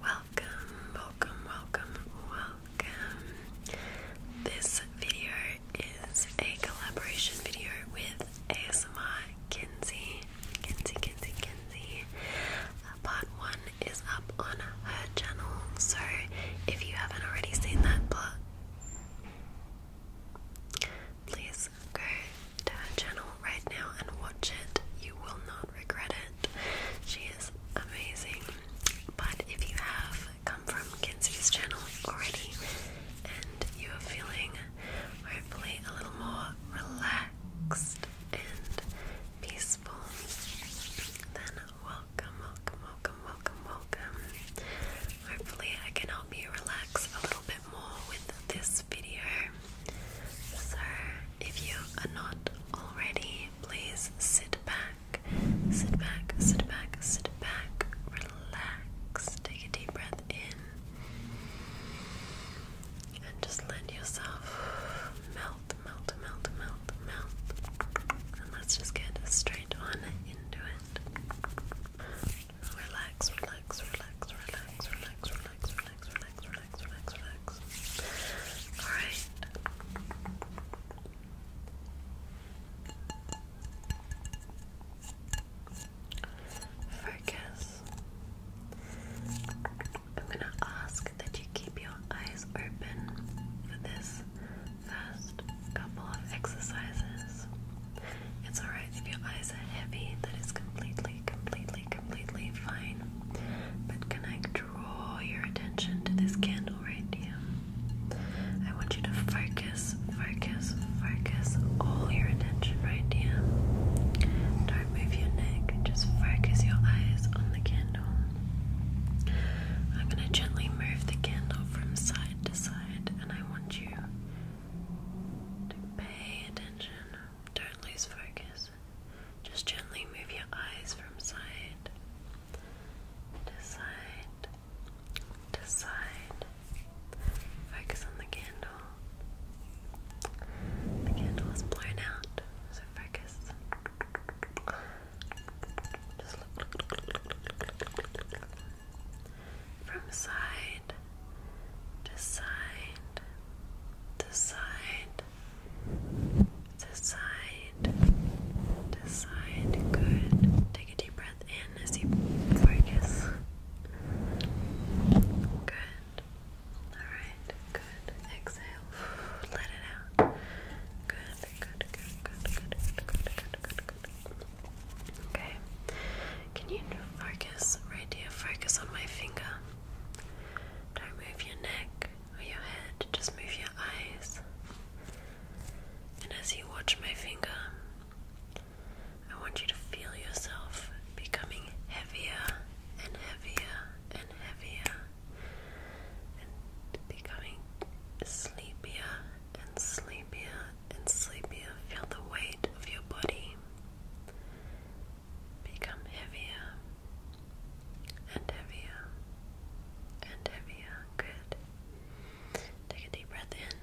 Welcome, welcome, welcome, welcome. This video is a collaboration video with ASMR Kinsey. Kenzie, Kenzie, Kenzie. Uh, part one is up on her channel, so if you haven't already seen that part, please go to her channel right now and watch it. You will not regret it. She is amazing. But if you have come from Kenzie's channel already and you are feeling hopefully a little more relaxed and peaceful, then welcome, welcome, welcome, welcome, welcome. Hopefully, I can help you relax a little bit more with this video. So, if you are not already, please sit back, sit back, sit back, sit back, relax, take a deep breath in and just let yourself melt, melt, melt, melt, melt. And let's just get straight on into it. Relax, relax, relax, relax, relax, relax, relax, relax, relax, relax, relax. Alright. Focus. I'm going to ask that you keep your eyes open for this first couple of exercises. It's alright if your eyes are heavy, that is completely, completely, completely fine. But can I draw your attention to this candle right here? I want you to focus. Focus, focus, focus all your attention right here. Don't move your neck, just focus your eyes on the candle. I'm going to gently move the candle from side to side, and I want you to pay attention. Don't lose focus. Just gently move your eyes from side to side Decide. Focus on the candle. The candle is blown out, so focus. Just look. From side to side to side to side to side. Good. Take a deep breath breath in as you focus. Good. Alright, good. Exhale. Let it out. Good, good, good, good, good, good, good, good, good. Okay. Can you focus right here? Focus on my finger. Don't move your neck or your head, just move your eyes. And as you watch my finger, I want you to feel yourself becoming heavier and heavier and heavier and becoming sleepier and sleepier and sleepier. Feel the weight of your body become heavier and heavier and heavier. Good. Take a deep breath in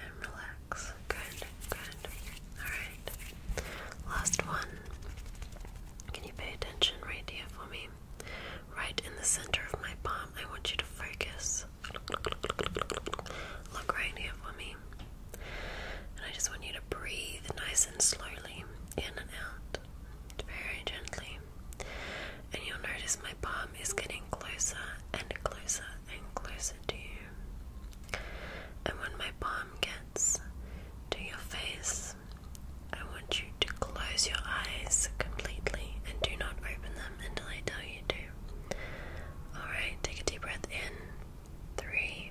and relax. Good, good. Alright. Last one. Can you pay attention right here for me? Right in the center of my palm. I want you to focus. Look right here for me. And I just want you to breathe nice and slowly in and out very gently, and you'll notice my palm is getting closer and closer and closer to you. And when my palm gets to your face, I want you to close your eyes completely and do not open them until I tell you to. Alright, take a deep breath in. Three,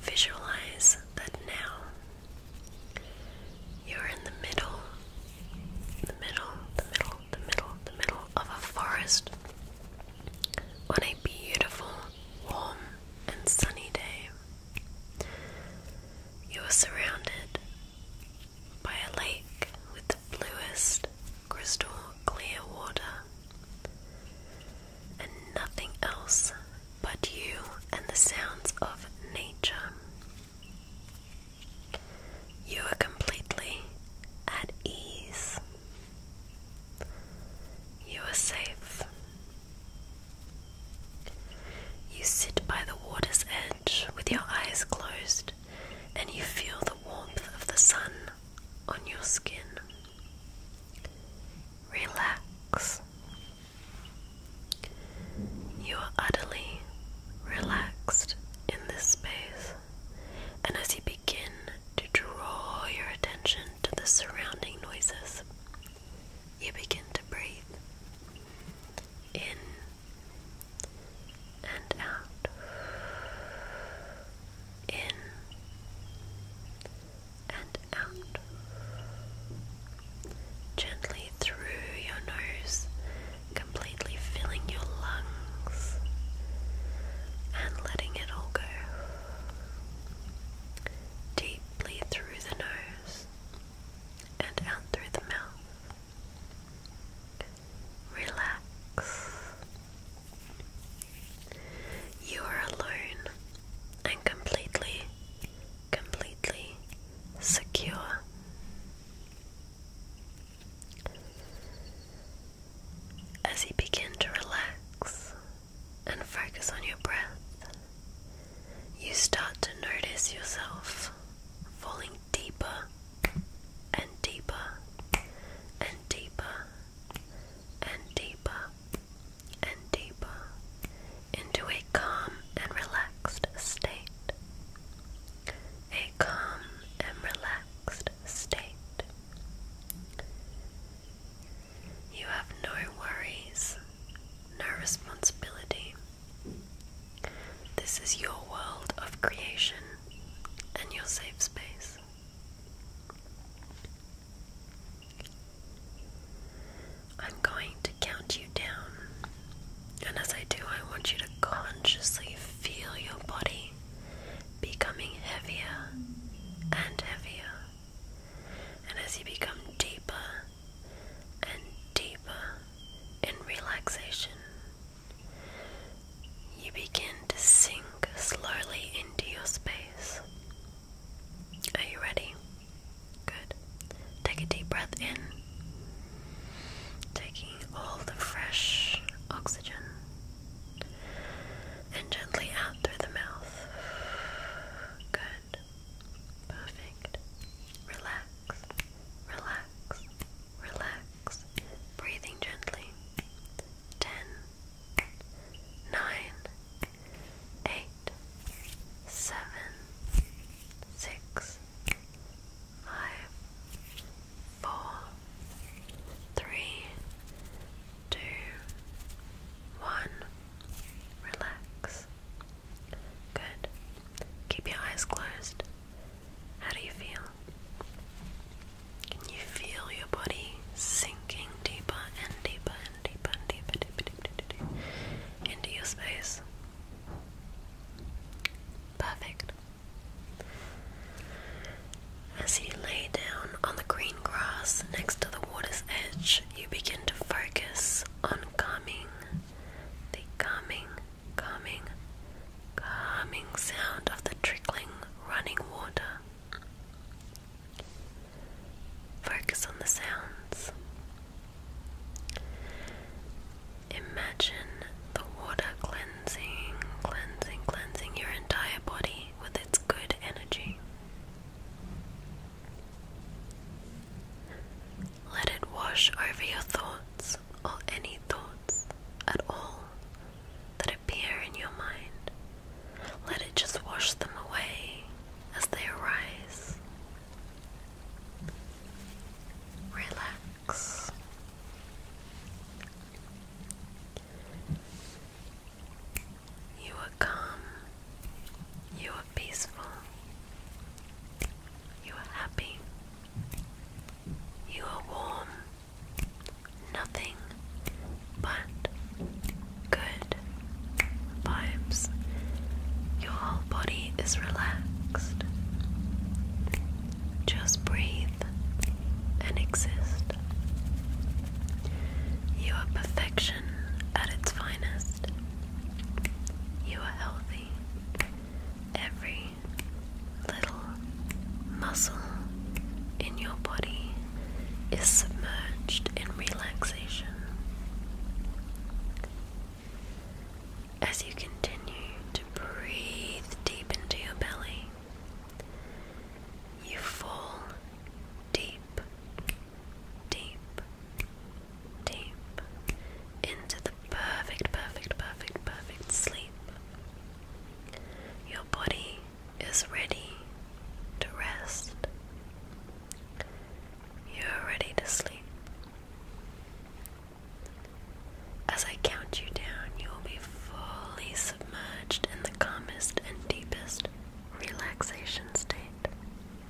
Visualize that now you're in the middle, the middle, the middle, the middle, the middle of a forest on a beautiful, warm, and sunny day. You are surrounded by a lake with the bluest, crystal clear water and nothing else but you and the sounds of nature. You are completely at ease. You are safe. You sit by the water's edge with your eyes closed and you feel the warmth of the sun on your skin. Relax. You are utterly relaxed in this space, and as you begin to draw your attention to the surrounding noises, you begin to breathe in and out, in and out. Gently through your nose, completely filling your lungs and letting it all go. Deeply through the nose and out through the mouth. Relax you are alone and completely, completely secure. As you begin to relax and focus on your breath, you start to notice yourself falling deeper and deeper and deeper and deeper and deeper into a calm and relaxed state. A calm and relaxed state. You have no worries, no responsibility. This is your world of creation and your safe space. I'm going to count you down, and as I do, I want you to consciously feel your body becoming heavier and heavier. And as you become deeper and deeper in relaxation, you begin to sink slowly into your space. Are you ready? Good. Take a deep breath in, taking all the fresh oxygen, and gently out through the mouth. Good. Perfect. Relax, relax, relax relax, breathing gently. Ten, nine, eight, seven, six, five, four, three, two, one. Relax. Good. Keep your eyes closed. How do you feel? Can you feel your body sinking deeper and deeper and deeper and deeper, into your space? Perfect. As you lay down on the green grass next to the water's edge, you begin to focus on calming the calming calming, calming sound of the trickling, running water. Focus on the sounds. Imagine the water cleansing, cleansing, cleansing your entire body with its good energy. Let it wash over your thoughts or any thoughts at all that appear in your mind. Let it just wash them away as they arise. Relax. You are calm. You are peaceful. You are happy. You are warm. Nothing but good vibes. Your whole body is relaxed. Just breathe and exist. You are perfection at its finest. You are healthy every little muscle in your body is submerged in relaxation. As you continue to breathe deep into your belly, you fall deep deep, deep into the perfect, perfect, perfect, perfect sleep. Your body is ready to rest. You're ready to sleep. As I count you down, you will be fully submerged in the calmest and deepest relaxation state.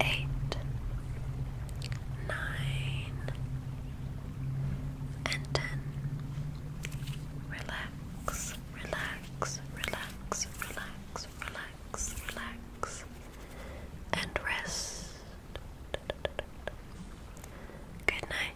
eight, nine, and ten. Relax, relax, relax, relax, relax, relax, and rest. Good night.